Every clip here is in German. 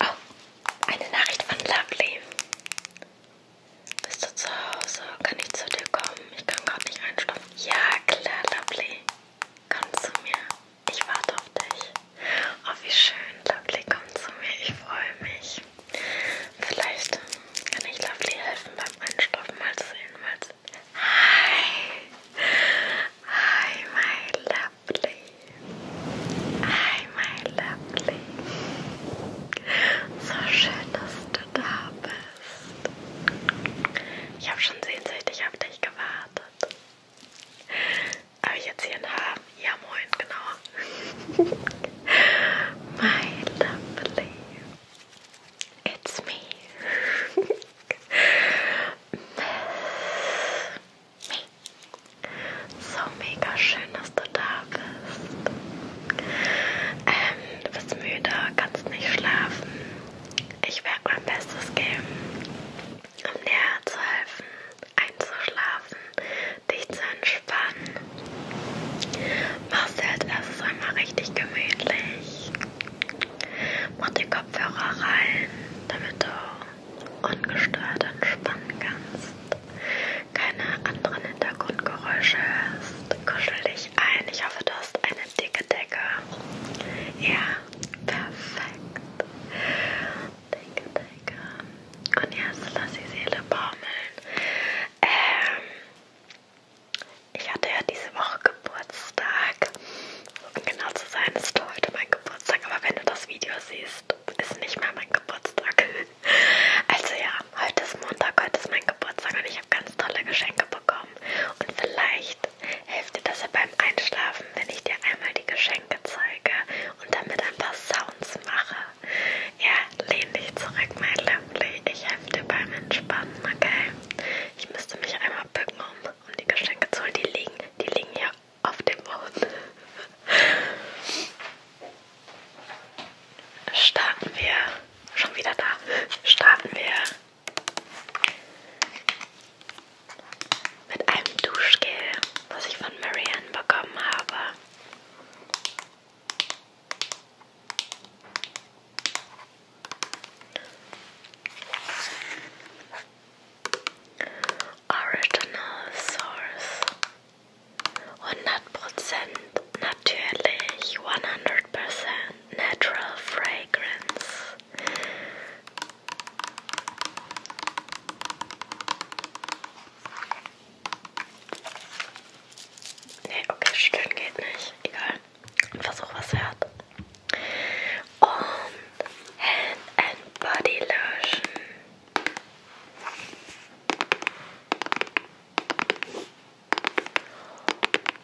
Oh, eine Nachricht von Lovely. Bist du zu Hause? Kann ich zu dir kommen? Ich kann gerade nicht einschlafen. Ja, klar, Lovely. Komm zu mir. Ich warte auf dich. Oh, wie schön. Lovely, komm zu mir. Ich freue mich. Vielleicht kann ich Lovely helfen beim Einschlafen. Mal sehen, mal sehen. Hi. Hi, my love lovely. Hi, my lovely. So schön, dass du da bist. Ich habe schon sehnsüchtig auf dich gewartet. Aber jetzt hier ein Haar. Ja, moin, genau. my lovely. It's me. So mega schön, dass du da bist. Ähm, du bist müde, kannst nicht schlafen. Ich werde mein Bestes geben, um dir zu helfen, einzuschlafen, dich zu entspannen. Mach's dir als erstes einmal richtig gemütlich. Mach die Kopfhörer rein, damit du ungestört entspannen kannst, keine anderen Hintergrundgeräusche hörst. Kuschel dich ein. Ich hoffe, du hast eine dicke Decke. Ja, perfekt. Dicke Decke. Und jetzt lass die Seele baumeln. Ähm, ich hatte ja diese Woche Geburtstag um genau zu sein, ist heute mein Geburtstag, aber wenn du das Video siehst, ist nicht mehr mein Geburtstag. Also ja, heute ist Montag, heute ist mein Geburtstag und ich habe ganz tolle Geschenke bekommen. Und vielleicht hilft dir das ja beim Einschlafen, wenn ich dir einmal die Geschenke zeige und damit ein paar Sounds mache. Ja, lehn dich zurück, mein Lovely. Ich helfe dir beim Entspannen, okay? Ich müsste mich einmal bücken, um, um die Geschenke zu holen. Die liegen, die liegen hier auf dem Mond. Starten wir, schon wieder da, starten wir mit einem Duschgel, was ich von Marianne bekommen habe. Original Source. 100% natürlich, 100% Natural Fragrance. Nee, okay, stöhnen geht nicht. Egal. Und versuch was hört. on hand and body lotion.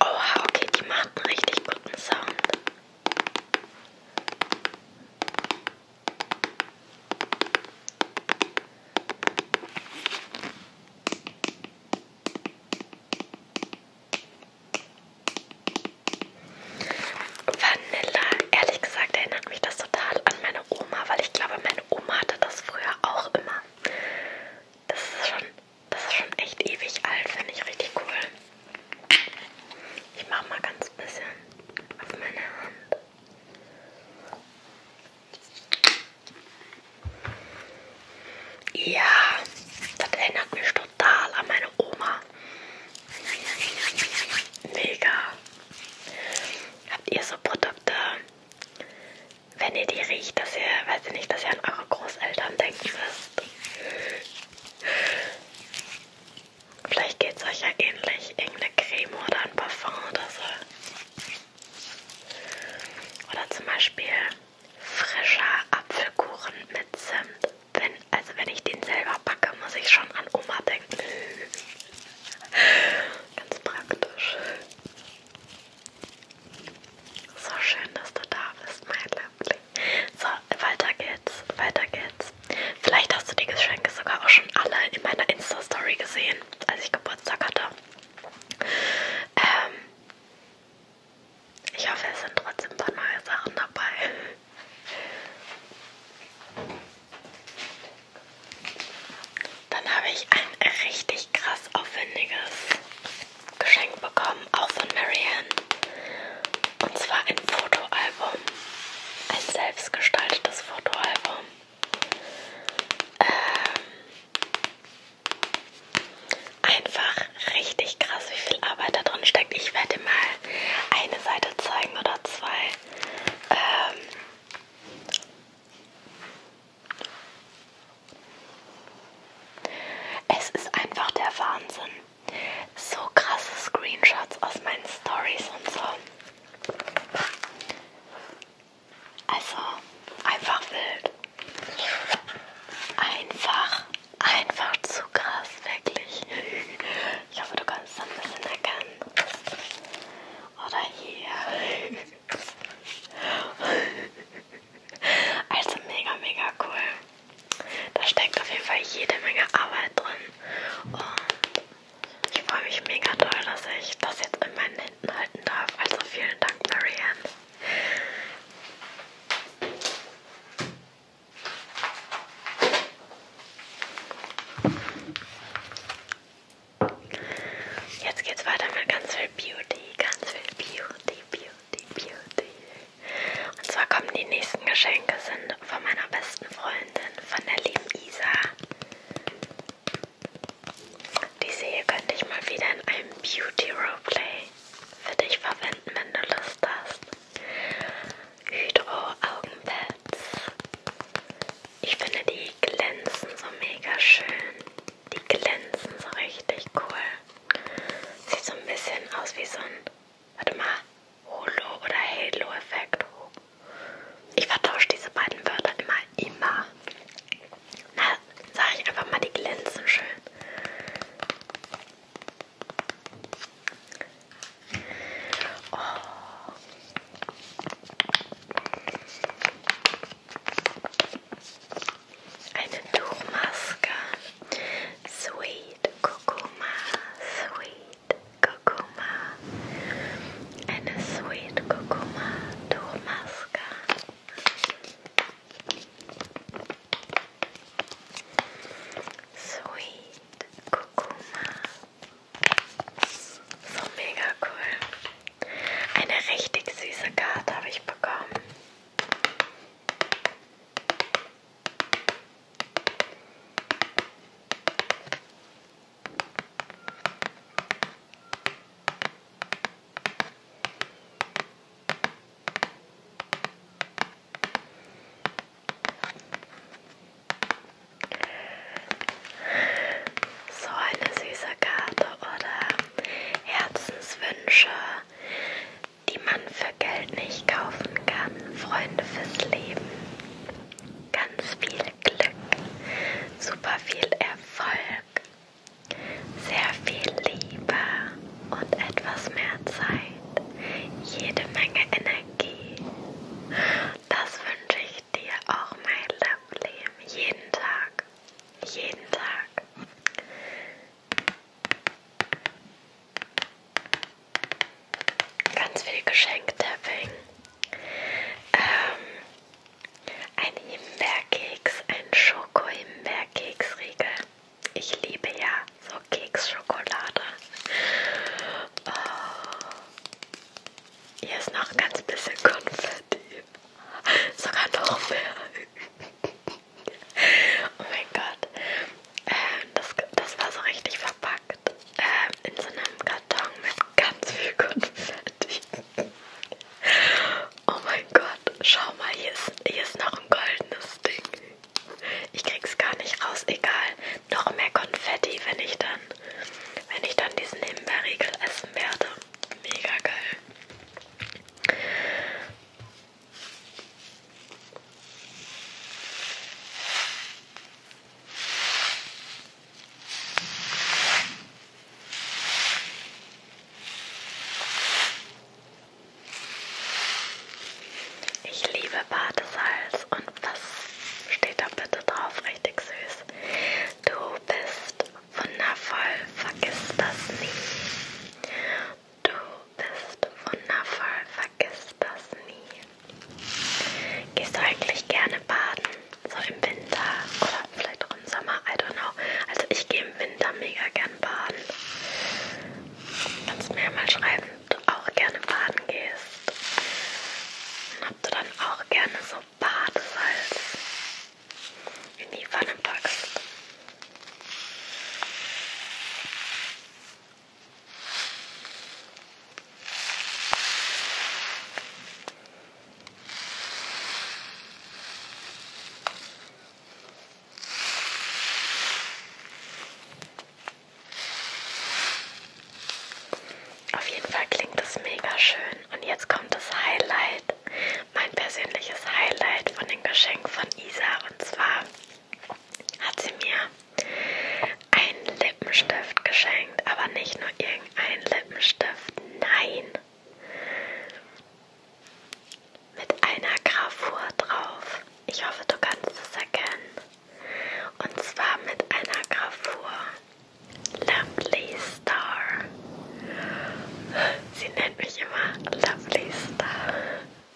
Oha, okay, die macht einen richtig guten Sound. Vanilla, ehrlich gesagt erinnert mich das total an meine Oma, weil ich glaube, meine Oma hatte das früher auch immer. Das ist schon, das ist schon echt ewig alt, finde ich richtig cool. Ich mache mal ganz bisschen auf meine Hand. Ja, das erinnert mich total an meine Oma. Mega. Habt ihr so Produkte, wenn ihr die riecht, dass ihr, weiß ich nicht, dass ihr an eure Großeltern denken müsst? Vielleicht geht es euch ja ähnlich, irgendeine Creme oder ein Parfum oder so. Oder zum Beispiel frischer Apfelkuchen mit Zimt. Wenn, also wenn ich den selber backe, muss ich schon an Oma denken. Ganz praktisch. So schön, dass du da bist, mein Liebling. So, weiter geht's, weiter geht's. Vielleicht hast du die Geschenke sogar auch schon alle in meiner Insta-Story gesehen, als ich Geburtstag hatte. Ähm, ich hoffe, es sind trotzdem ein paar neue Sachen dabei. Dann habe ich ein richtig krass aufwendiges Geschenk bekommen, auch von Marianne. Und zwar ein Fotoalbum. Ein selbstgestaltetes Fotoalbum. Ähm, einfach richtig krass, wie viel Arbeit da drin steckt. Ich werde dir mal eine Seite zeigen oder zwei. Ähm es ist einfach der Wahnsinn. So krasse Screenshots aus meinen Stories und so. Also einfach wild. Einfach Einfach zu krass, wirklich. Ich hoffe, du kannst es ein bisschen erkennen. Oder hier. Also mega, mega cool. Da steckt auf jeden Fall jede Menge Arbeit drin. Und ich freue mich mega toll, dass ich das jetzt in meinen Händen halten darf. Also vielen Dank, Marianne. Jetzt geht's weiter mit ganz viel Beauty, ganz viel Beauty, Beauty, Beauty. Und zwar kommen die nächsten Geschenke sind von meiner besten Freundin, von der lieben Isa. Diese hier könnte ich mal wieder in einem Beauty Roleplay für dich verwenden, wenn du Lust hast. Hydro Augenpads. Ich finde die glänzen so mega schön. Die glänzen so richtig cool. Sieht so ein bisschen aus wie so ein, warte mal, Holo oder Halo-Effekt. Ich vertausche diese beiden Wörter immer, immer. Na, sage ich einfach mal, die glänzen schön. Oh. Eine Tuchmaske. Sweet Kurkuma, Sweet and a Sweet Kurkuma Tuchmaske. Sweet Kurkuma. So mega cool. Eine richtig süße Karte habe ich bekommen. So eine süße Karte oder Herzenswünsche, die man für Geld nicht kaufen kann. Freunde fürs Leben. Ganz viel Glück, super viel Erfolg, sehr viel Liebe und etwas mehr Zeit, jede Menge Energie. Das wünsche ich dir auch, mein Lovely, jeden Tag, jeden Tag. Ganz viel Geschenktapping. Ähm, ein Himbeerkeks, ein Schoko-Himbeerkeksriegel. Ich liebe ja so Keksschokolade. Oh. Hier ist noch ein ganz bisschen Konfetti. Sogar noch mehr. oh mein Gott. Ähm, das, das war so richtig verpackt. Ähm, in so einem Karton mit ganz viel Konfetti. oh mein Gott. Schau mal, hier ist, hier ist noch ein goldenes Ding. Ich krieg's gar nicht raus, egal. Noch mehr Konfetti, wenn ich dann, wenn ich dann diesen Himbeerriegel essen werde. Mega geil. Ich liebe Badesalz und was steht da bitte drauf? Richtig süß. Du bist wundervoll, vergiss das nie. Du bist wundervoll, vergiss das nie. Gehst du eigentlich gerne baden? So im Winter oder vielleicht auch im Sommer, I don't know. Also ich gehe im Winter mega gern baden. Kannst mir mal schreiben, ob du auch gerne baden gehst. Und ob du dann auch gerne so Badesalz in die Pfanne packst. Auf jeden Fall klingt das mega schön. Und jetzt kommt das Highlight, mein persönliches Highlight von dem Geschenk von Isa. Und zwar hat sie mir einen Lippenstift geschenkt, aber nicht nur irgendeinen Lippenstift, nein mit einer Gravur drauf. Ich hoffe, du kannst es erkennen. Und zwar mit einer Gravur. Lovely Star. Sie nennt mich immer Lovely Star.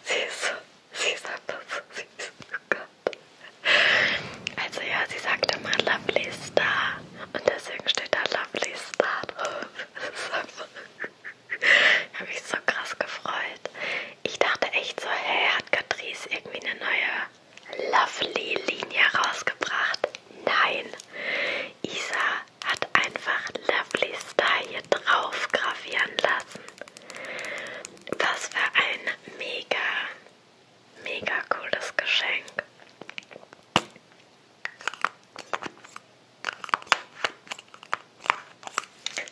Sie ist so, sie sagt das so süß. Oh Gott. Also ja, sie sagt immer Lovely Star. Und deswegen steht da Lovely Star drauf. Das ist so verrückt. ich habe mich so krass gefreut. Ich dachte echt so, hey, hat Catrice irgendwie eine neue Lovely-Linie rausgebracht? Nein, Isa hat einfach Lovely Star hier drauf gravieren lassen. Was für ein mega, mega cooles Geschenk.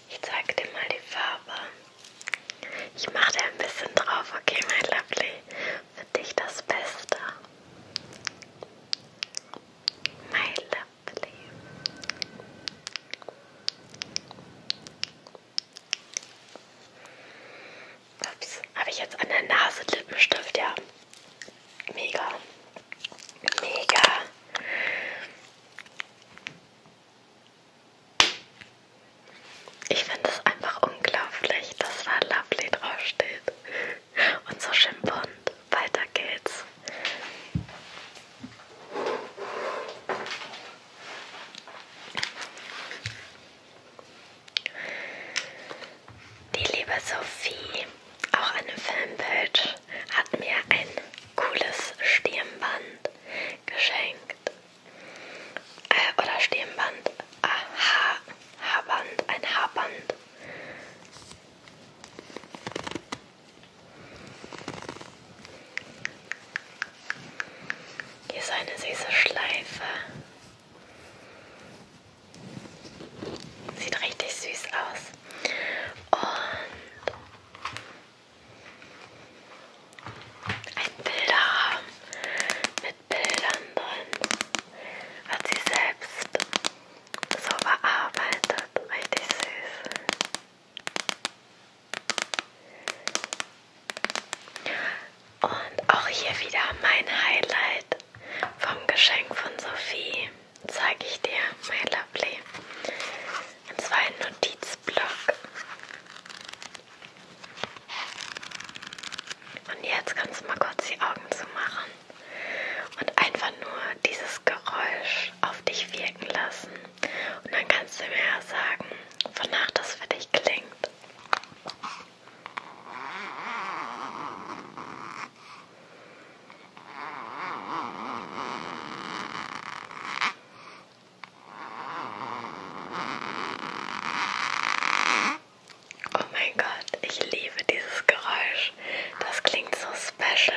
Ich zeig dir mal die Farbe. Ich mache da ein bisschen drauf, okay, mein Lovely? Für dich das Beste. My Lovely. Ups, habe ich jetzt an der Nase Lippenstift, ja. Mega. Mega. Ich finde es einfach unglaublich, dass da Lovely draufsteht. Und so schön bunt. Weiter geht's. Die liebe Sophie, auch eine Fanpage, hat mir ein cooles Stirnband geschenkt. Äh, oder Stirnband. Ah, Haar, Haarband. Ein Haarband. Hier ist eine süße Schleife. Sieht richtig süß aus. Und ein Bilderrahmen mit Bildern drin. Hat sie selbst so bearbeitet. Richtig süß. Und auch hier wieder mein Highlight vom Geschenk von Sophie zeige ich dir, my lovely. Und zwar ein Notizblock. Und jetzt kannst du mal kurz die Augen zumachen und einfach nur dieses Geräusch auf dich wirken lassen. Und dann kannst du mir ja sagen, wonach das für dich klingt. Oh mein Gott, ich liebe dieses Geräusch. Das klingt so special.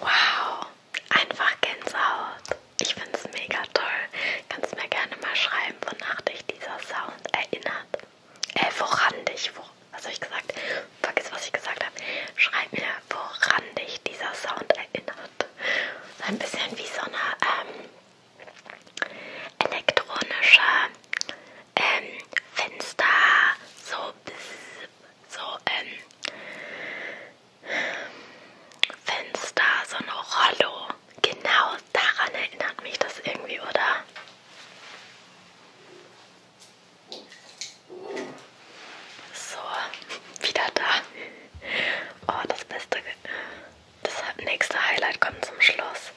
Wow, einfach Gänsehaut. Ich finde es mega toll. Kannst mir gerne mal schreiben, wonach dich dieser Sound erinnert. Äh, woran dich, wo, was habe ich gesagt? Vergiss, was ich gesagt habe. Schreib mir, woran dich dieser Sound erinnert. So ein bisschen wie so eine ähm, elektronische ähm, Fenster, so so ähm, Fenster, so eine Rollo. Genau daran erinnert mich das irgendwie, oder? So, wieder da. Oh, das beste. Das nächste Highlight kommt zum Schluss.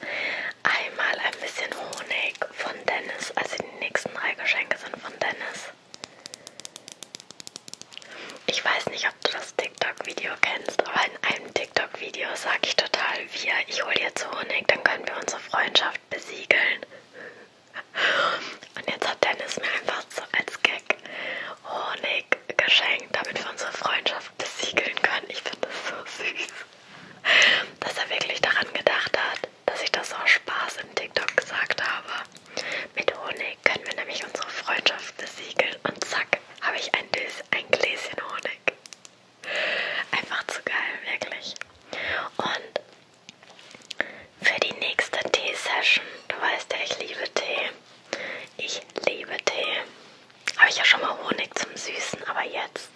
Einmal ein bisschen Honig. Geschenk von Dennis. Also die nächsten drei Geschenke sind von Dennis. Ich weiß nicht, ob du das TikTok-Video kennst, aber in einem TikTok-Video sage ich total wir. Ich hole dir zu Honig, dann können wir unsere Freundschaft besiegeln. Und jetzt hat Dennis mir einfach so als Gag Honig geschenkt, damit wir unsere Freundschaft besiegeln können. Ich finde das so süß, dass er wirklich daran gedacht hat dass ich das auch Spaß im TikTok gesagt habe. Mit Honig können wir nämlich unsere Freundschaft besiegeln und zack, habe ich ein, Dös, ein Gläschen Honig. Einfach zu geil, wirklich. Und für die nächste Tee-Session, du weißt ja, ich liebe Tee. Ich liebe Tee. Habe ich ja schon mal Honig zum Süßen, aber jetzt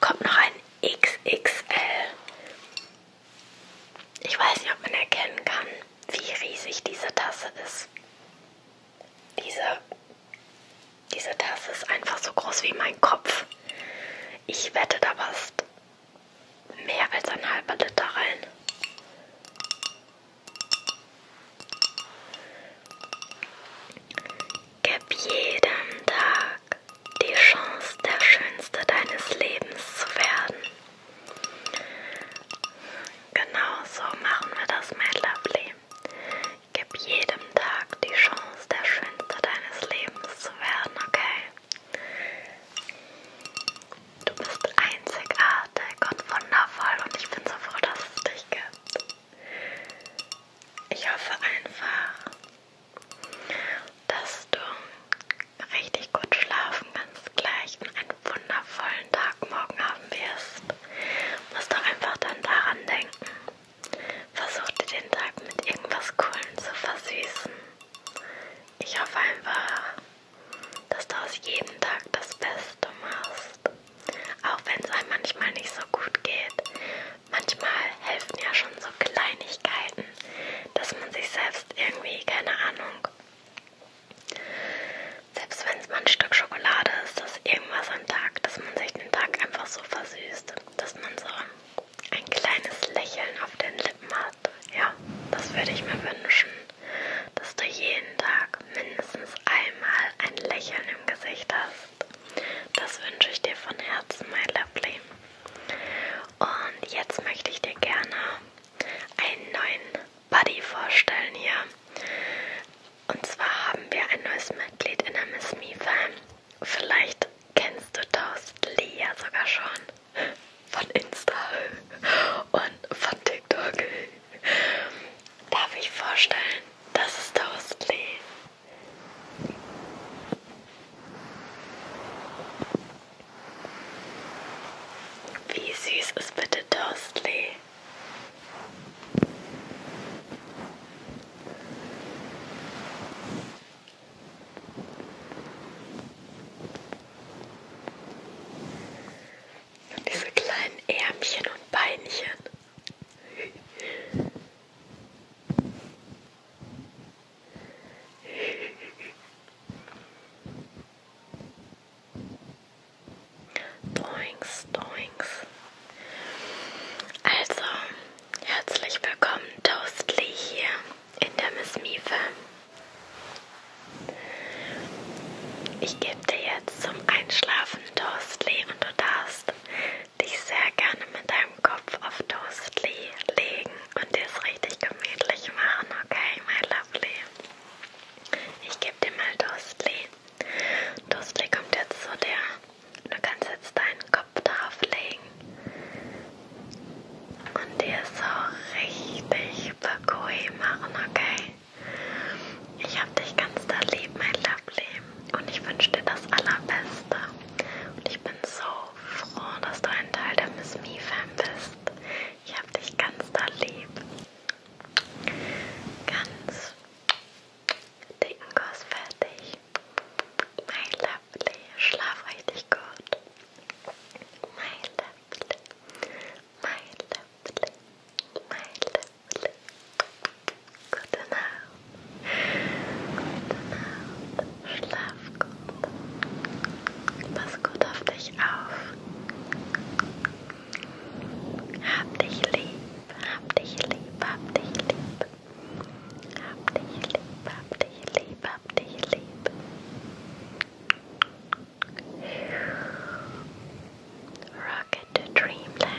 kommt noch ein XXL. Ich weiß nicht, ob man erkennen kann, wie riesig diese Tasse ist. Diese, diese Tasse ist einfach so groß wie mein Kopf. Ich wette da passt mehr als ein halber Liter rein. Gib jedem da Tag die Chance, der Schönste deines Lebens zu werden. Genau so machen wir das, mein Lovely. Gib jedem Tag die Chance, der Schönste deines Lebens zu werden, okay? Du bist einzigartig und wundervoll und ich bin so froh, dass es dich gibt. Ich hoffe einfach, dass du richtig gut schlafen kannst gleich und einen wundervollen Tag morgen haben wirst. Musst doch einfach dann daran denken. Versuch dir den Tag mit irgendwas Coolem zu versüßen. Ich hoffe einfach, dass du aus jedem Tag das Beste machst. Auch wenn es einem manchmal nicht so gut geht, manchmal helfen ja schon so Kleinigkeiten, dass man sich selbst irgendwie, keine Ahnung, selbst wenn es mal ein Stück Schokolade ist, dass irgendwas am Tag, dass man sich den Tag einfach so versüßt, dass man so ein kleines Lächeln auf den Lippen hat. Ja, das würde ich mir wünschen, dass du jeden Tag mindestens einmal ein Lächeln im Gesicht hast kannst. Das wünsche ich dir von Herzen, my lovely. Und jetzt möchte ich dir gerne einen neuen Buddy vorstellen hier. Und zwar haben wir ein neues Mitglied in der Miss Me Fam. Vielleicht kennst du Toast Lee ja sogar schon von Insta und von TikTok. Darf ich vorstellen, das ist Toast Lee. Wie süß ist bitte Dursley? Und diese kleinen Ärmchen und Beinchen. Doings, doings. Also, herzlich willkommen, Toastly, hier in der Miss Miefe. Ich gebe dir jetzt zum Einschlafen Toastly und du darfst dich sehr gerne mit deinem Kopf auf Toastly legen und dir es richtig gemütlich machen, okay, my lovely? Ich gebe dir mal Toastly. Toastly kommt jetzt zu dir. Du kannst jetzt deinen Kopf darauf legen und dir so richtig bequem machen, okay? Ich hab dich ganz da lieb, mein Lovely und ich wünsche dir das Allerbeste. Und ich bin so froh, dass du ein Teil der Miss Me Fan bist. Ich hab dich ganz doll lieb. Ganz dicken Kuss fertig. My lovely, schlaf richtig gut. My lovely, my lovely, my lovely. Gute Nacht. Gute Nacht. Schlaf gut. Pass gut auf dich auf. Hab dich lieb. Hab dich lieb. Hab dich lieb. Hab dich lieb. Hab dich lieb. Hab dich lieb. Rocket to dreamland.